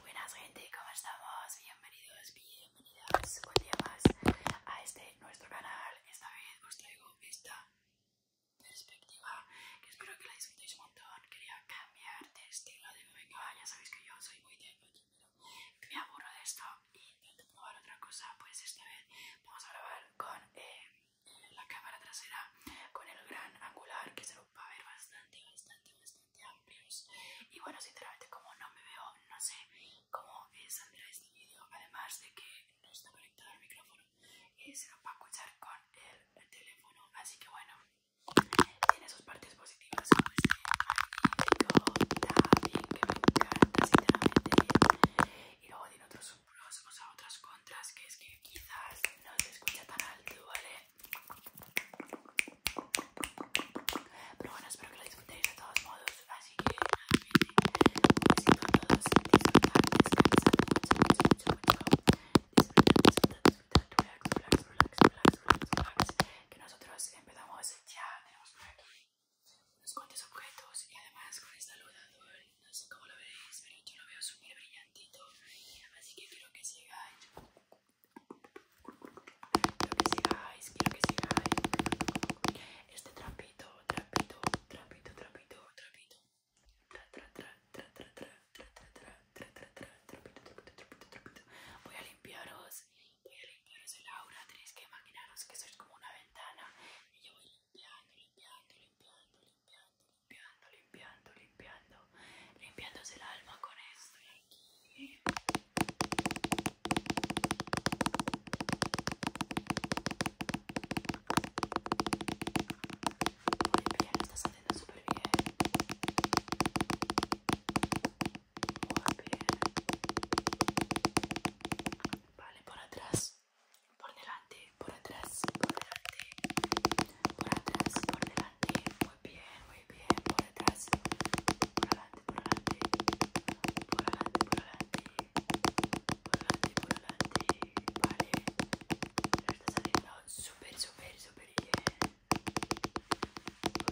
Buenas gente, ¿cómo estamos? Bienvenidos, bienvenidas un día más a este nuestro canal. Esta vez os traigo esta perspectiva que espero que la disfrutéis un montón. Quería cambiar de estilo de video, ya sabéis que yo soy muy de que me aburro de esto y intento probar otra cosa. Pues esta vez vamos a grabar con eh, la cámara trasera con el gran angular que se nos va a ver bastante, bastante, bastante amplios. Y bueno, sinceramente, como no me veo, no sé cómo saldrá este vídeo, además de que no está conectado al micrófono y eh, se nos va a escuchar con el, teléfono. Así que bueno, tiene sus partes positivas este eh, que me encanta, sinceramente. Y luego tiene otros pros, a otras contras, que es que quizás no se escucha tan alto, ¿vale? Pero bueno, espero que lo disfrutéis de todos modos, así que a todos, relax, relax, relax, que nosotros empezamos ya, tenemos aquí unos cuantos objetos y además con no sé cómo lo veis, pero yo lo veo súper brillantito. Así que quiero que sigáis. Quiero que sigáis, quiero que sigáis. Este trapito, trapito, trapito, trapito, trapito. Tra, tra, tra, tra, tra, tra, tra, tra, tra, tra, tra, trapito, trapito, trapito, trapito. Voy a limpiaros, voy a limpiaros el aura. Tenéis que imaginaros que sois como una ventana. Y yo voy limpiando, limpiando, limpiando, limpiando, limpiando, limpiando, limpiando, limpiándose el alma con esto aquí. Muy bien, lo estás haciendo súper bien. Muy bien. Vale, por atrás por delante, por atrás, por delante, por atrás, por delante, muy bien, muy bien, por atrás, por delante, por delante, por delante, por delante, por delante, por delante, vale, está saliendo super super super bien, por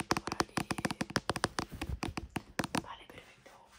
delante. vale, perfecto. Vamos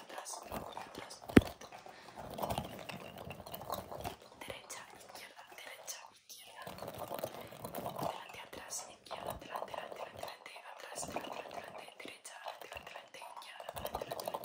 atrás, atrás, derecha, izquierda, derecha, izquierda, delante, atrás, izquierda, delante, delante, delante, atrás, delante, delante, derecha, delante, delante, izquierda, delante, delante, delante, atrás.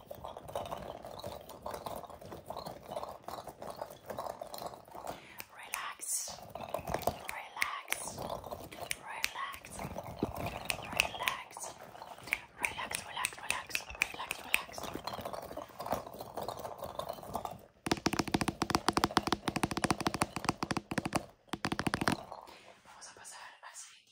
Relax, relax, relax, relax, relax, relax, relax, relax, relax. Vamos a pasar así.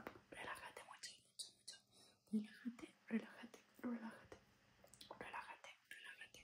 Relájate mucho, mucho, mucho. Relájate, relájate, relájate. Relájate, relájate,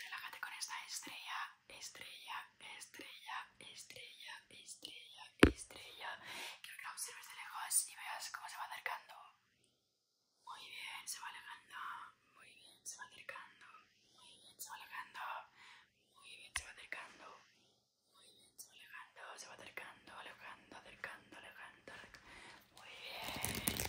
Relájate con esta estrella, estrella, estrella, estrella, estrella, estrella. Quiero que la observes de lejos y veas cómo se va acercando. Muy bien, se va alejando. Muy bien, se va acercando. Muy bien, se va alejando. Muy bien, se va acercando. Alejando, se va acercando, alejando, acercando, alejando. Muy bien.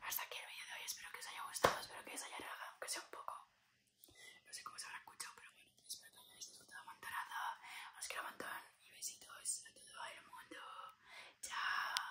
Hasta aquí el vídeo de hoy, espero que os haya gustado, espero que os haya llegado aunque sea un poco. No sé cómo se habrá escuchado, pero bueno, espero que hayáis la montonada. Os quiero un montón y besitos a todo el mundo. Chao.